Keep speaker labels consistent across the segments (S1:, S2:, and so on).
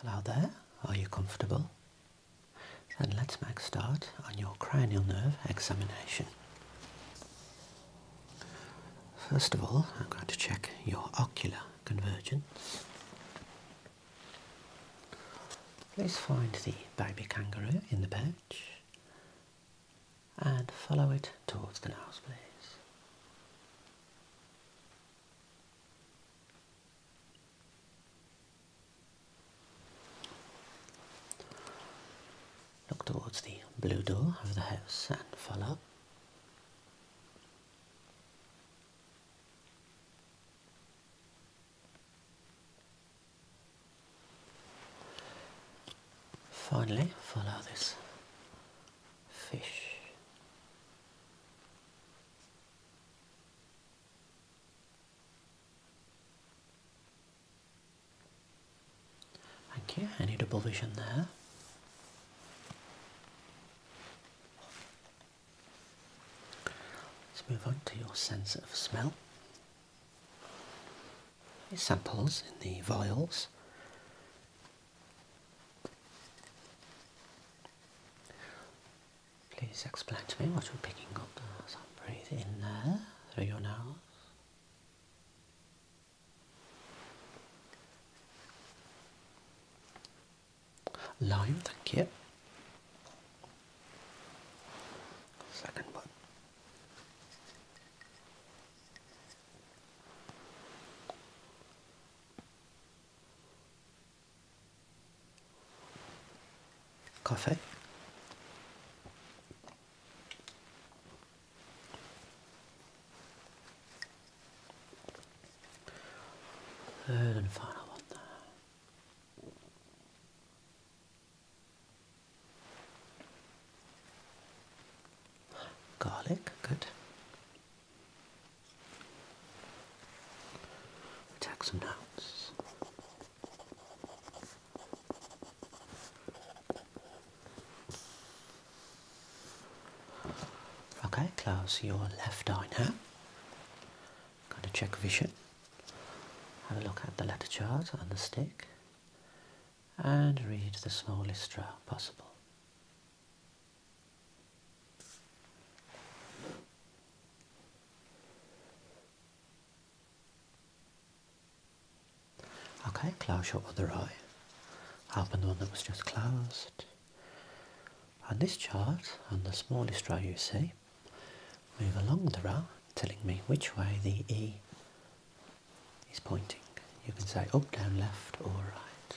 S1: Hello there, are you comfortable? And let's make start on your cranial nerve examination. First of all, I'm going to check your ocular convergence. Please find the baby kangaroo in the pouch and follow it towards the nose, please. Look towards the blue door of the house and follow. Finally, follow this fish Okay, Thank you. Any double vision there? Let's move on to your sense of smell. samples in the vials Please explain to me what you're picking up as I breathe in there through your nose. Lime, thank you. Second one coffee. Third and final one there. Garlic, good. Take some notes. Okay, close your left eye now. Going to check vision. Have a look at the letter chart on the stick and read the smallest row possible. Okay, close your other eye. Open the one that was just closed. And this chart, and the smallest row you see, move along the row, telling me which way the E is pointing. You can say up, down, left or right.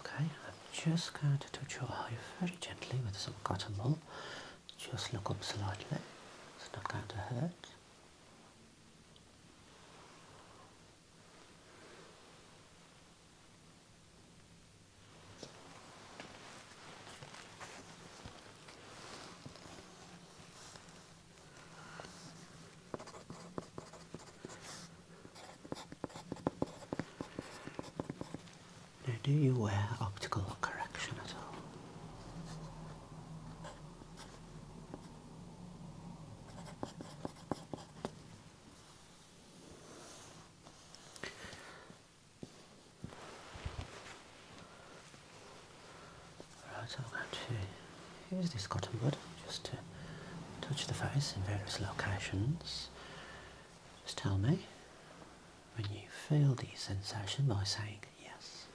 S1: Okay, I'm just going to touch your eye very gently with some cotton wool. Just look up slightly. It's not going to hurt do you wear optical correction at all? Right, I'm going to use this cotton bud just to touch the face in various locations just tell me when you feel the sensation by saying yes.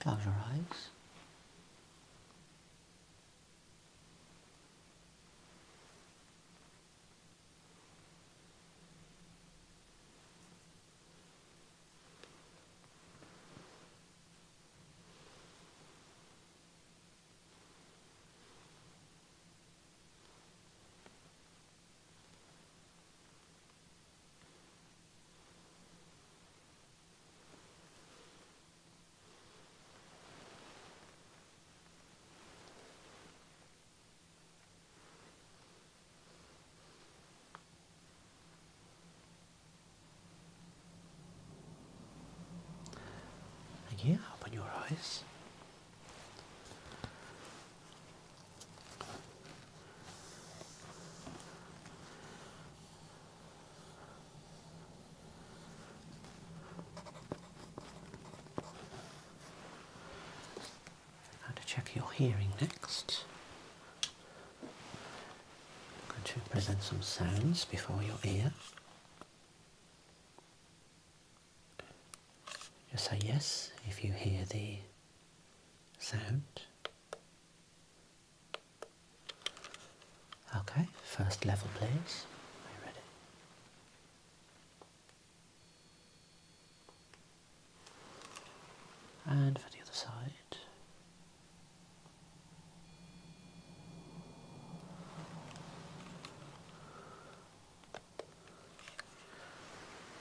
S1: Close your eyes. And yeah, open your eyes. I'm going to check your hearing next. I'm going to present some sounds before your ear. Just say yes if you hear the sound. Okay, first level please. Are you ready? And for the other side.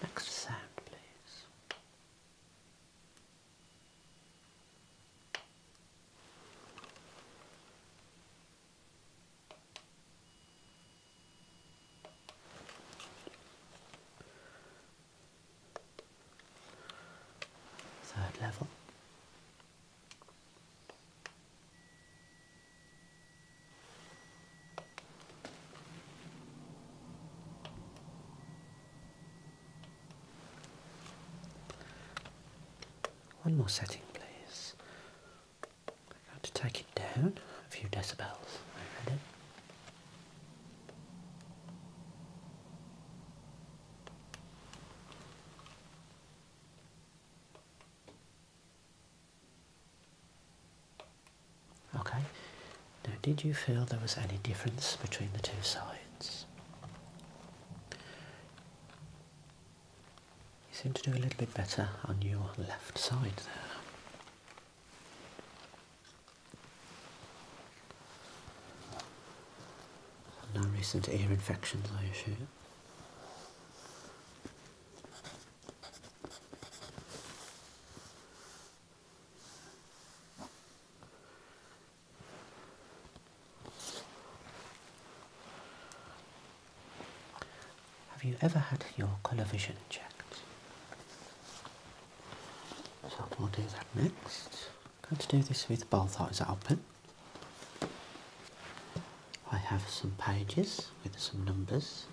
S1: Next sound, please. Third level. One more setting, please. I'm going to take it down a few decibels. I read Okay, now did you feel there was any difference between the two sides? You seem to do a little bit better on your left side there. No recent ear infections, I assume. Have you ever had your colour vision checked? So we'll do that next. I'm going to do this with both eyes open. I have some pages with some numbers.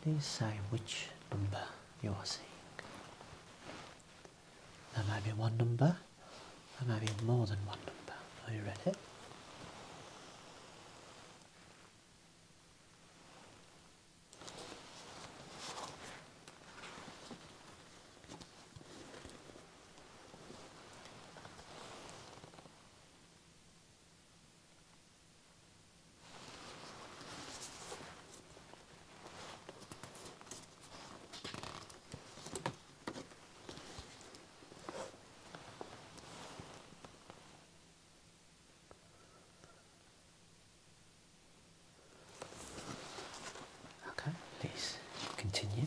S1: Please say which number you are seeing. There might be one number, there might be more than one number. Are you ready? Okay, please continue.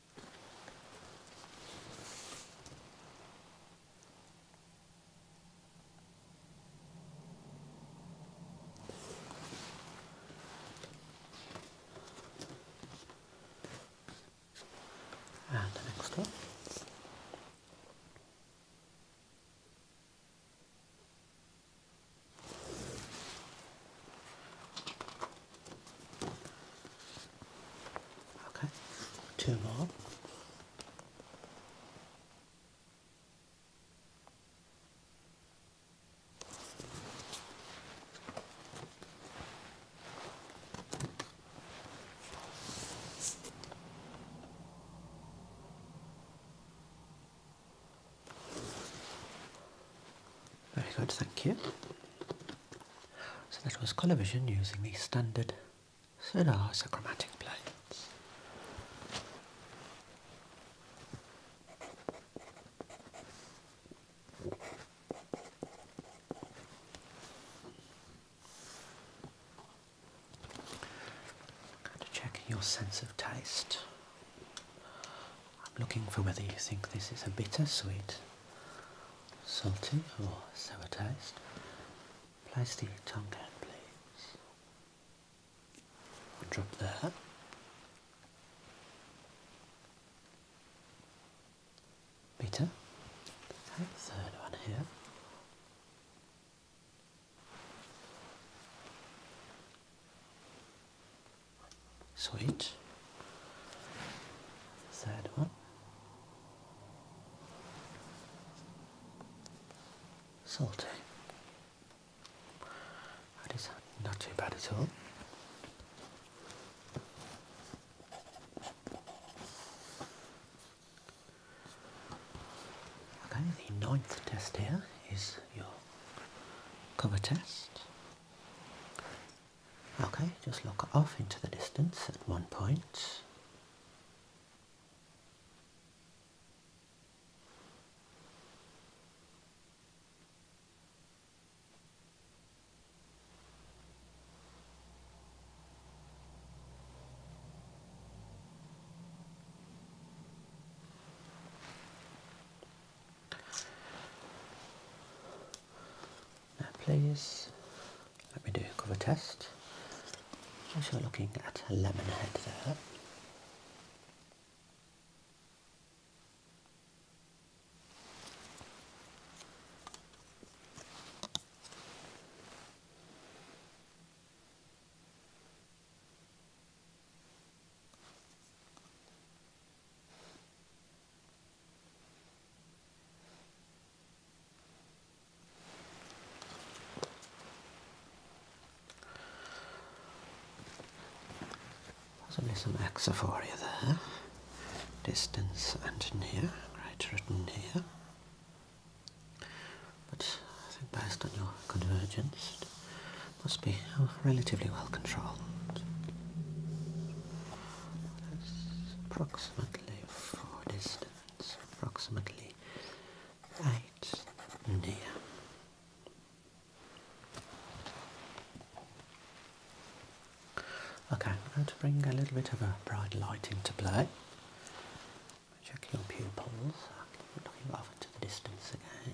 S1: And the next one. Okay, two more. Very good, thank you. So that was colour vision using the standard solar isochromatic plates. Got your sense of taste. I'm looking for whether you think this is a bittersweet, salty or sour taste. Place the tongue down please. drop that. Bitter. Okay, third one here. Sweet. Third one. Salty. That is not too bad at all. Okay, the ninth test here is your cover test. Okay, just look off into the distance at one point. Now please let me do a cover test. As you're looking at a lemon head there. Possibly some axophoria there. Distance and near, right written here. But I think based on your convergence, it must be relatively well controlled. approximately four distance, approximately eight near. Okay, I'm going to bring a little bit of a bright light into play. Check your pupils. Looking off into the distance again.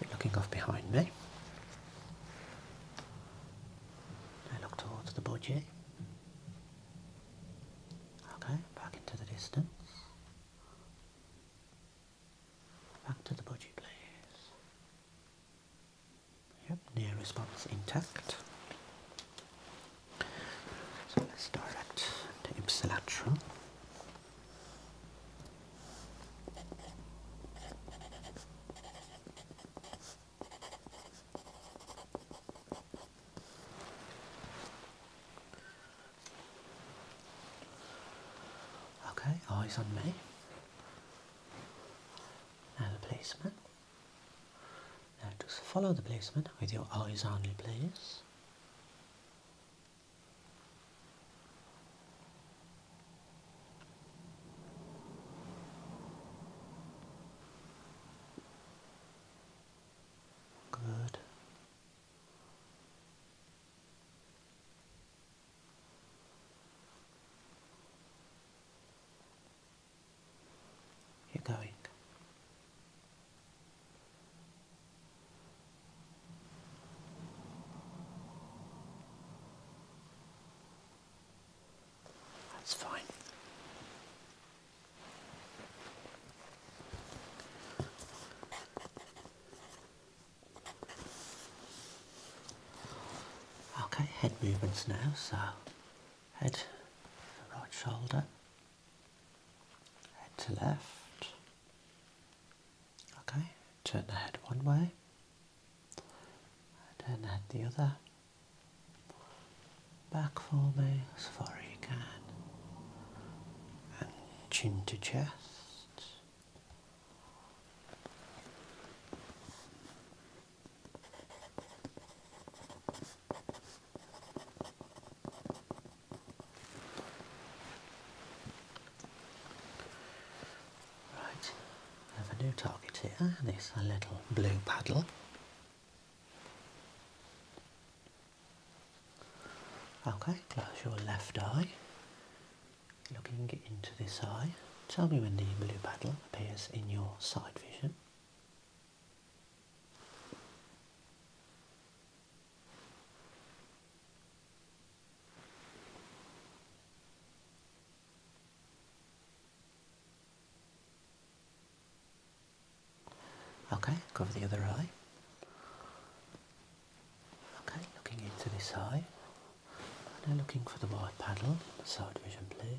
S1: You're looking off behind me. I look towards the budgie. Okay, back into the distance. Back to the budgie, please. Yep, near response intact. So let's direct the ipsilateral. Okay, eyes on me. Now the policeman. Now just follow the placement with your eyes only please. Good. You're going that's fine. Okay, head movements now, so head to the right shoulder, head to left, Okay, turn the head one way, and turn the head the other. Back for me as far as you can, and chin to chest. Right, I have a new target here, and it's a little blue paddle. Okay, close your left eye, looking into this eye. Tell me when the blue paddle appears in your side vision. Okay, cover the other eye. Okay, looking into this eye. Now looking for the white panel. the side vision, please.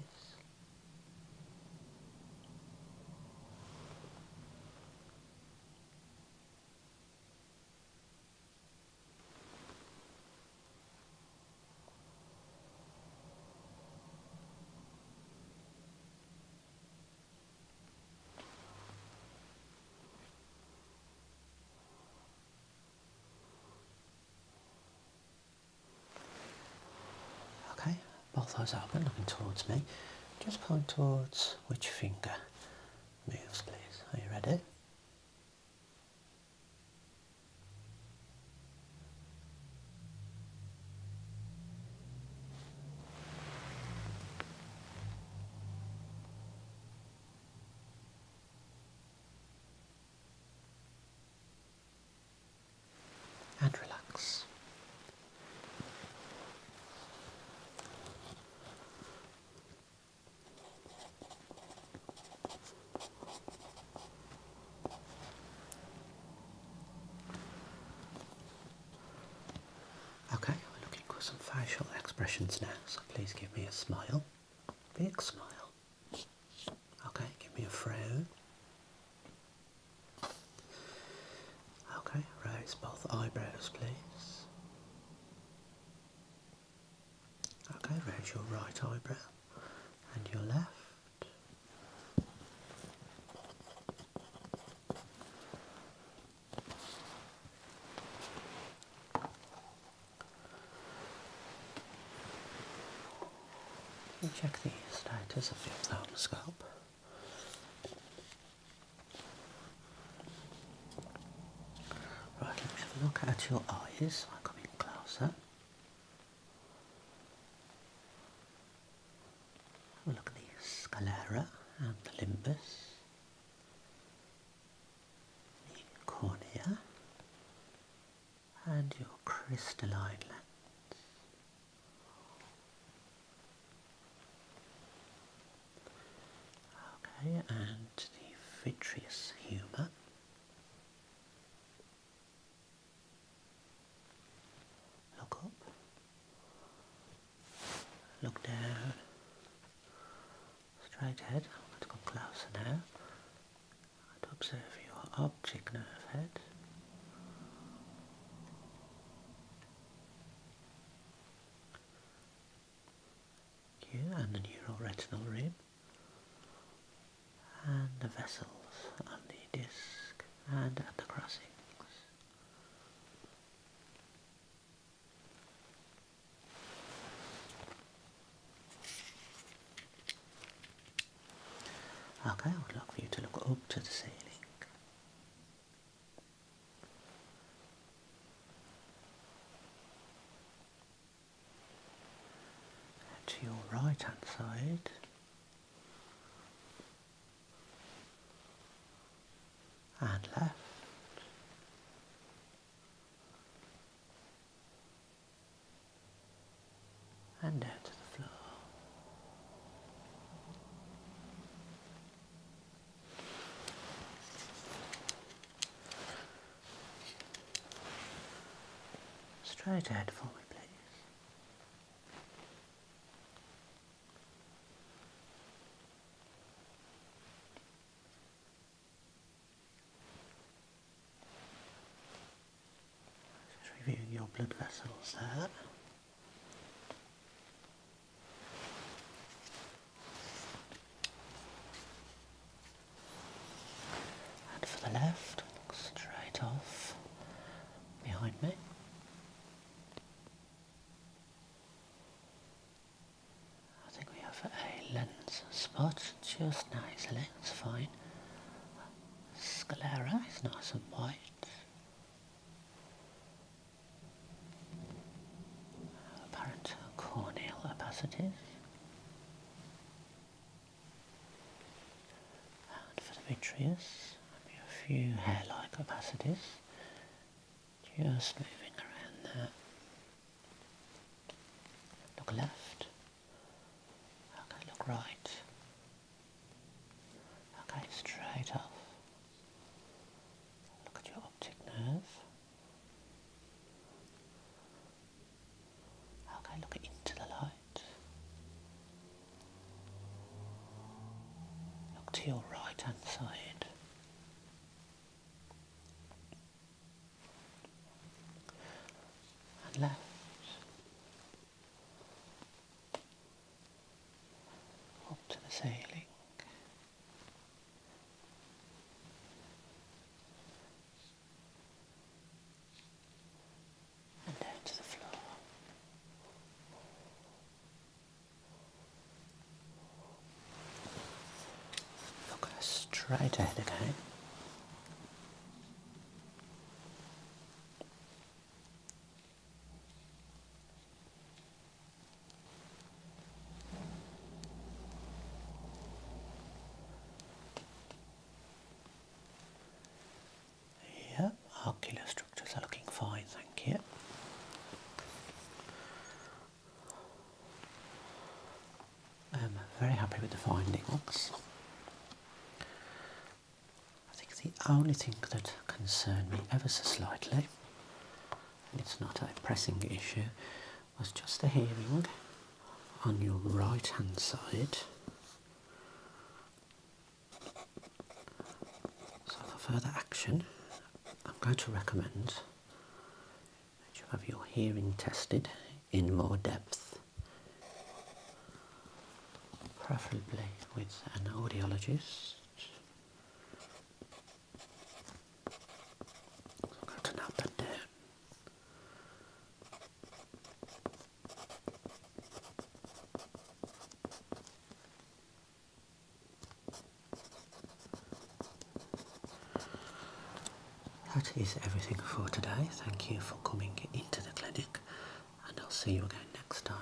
S1: Okay, both eyes open, looking towards me. Just point towards which finger? moves, please. Are you ready? And relax. Okay, we're looking for some facial expressions now, so please give me a smile. Big smile. Okay, give me a frown. Okay, raise both eyebrows, please. Okay, raise your right eyebrow and your left. check the status of your thumb scalp. Right, let me have a look at your eyes. I'll come in closer. Have a look at the sclera and the limbus, the cornea, and your crystalline lens. Okay, and the vitreous humour. Look up. Look down. Straight ahead. Let's going come closer now. And observe your object nerve head you and the neuroretinal rim and the vessels and the disc and at the crossings. Okay, I would like for you to look up to the ceiling to your right hand side and left. And down to the floor. Straight ahead for me, please. Just reviewing your blood vessels there. And for the left, straight off behind me. I think we have a lens spot just nicely, it's fine. Sclera is nice and white apparent corneal opacities. And for the vitreous, maybe a few hair-like opacities, just moving around there. Look left. Okay, look right. Okay, straight up. Look at your optic nerve. Okay, look into the light. Look to your right hand side. And left. Up to the ceiling and down to the floor. Look straight ahead again. Yeah, ocular structures are looking fine, thank you. I'm um, very happy with the findings. I think the only thing that concerned me ever so slightly, and it's not a pressing issue, was just a hearing on your right hand side. So for further action, I'm going to recommend that you have your hearing tested in more depth, preferably with an audiologist that is everything for today. Thank you for coming into the clinic, and I'll see you again next time.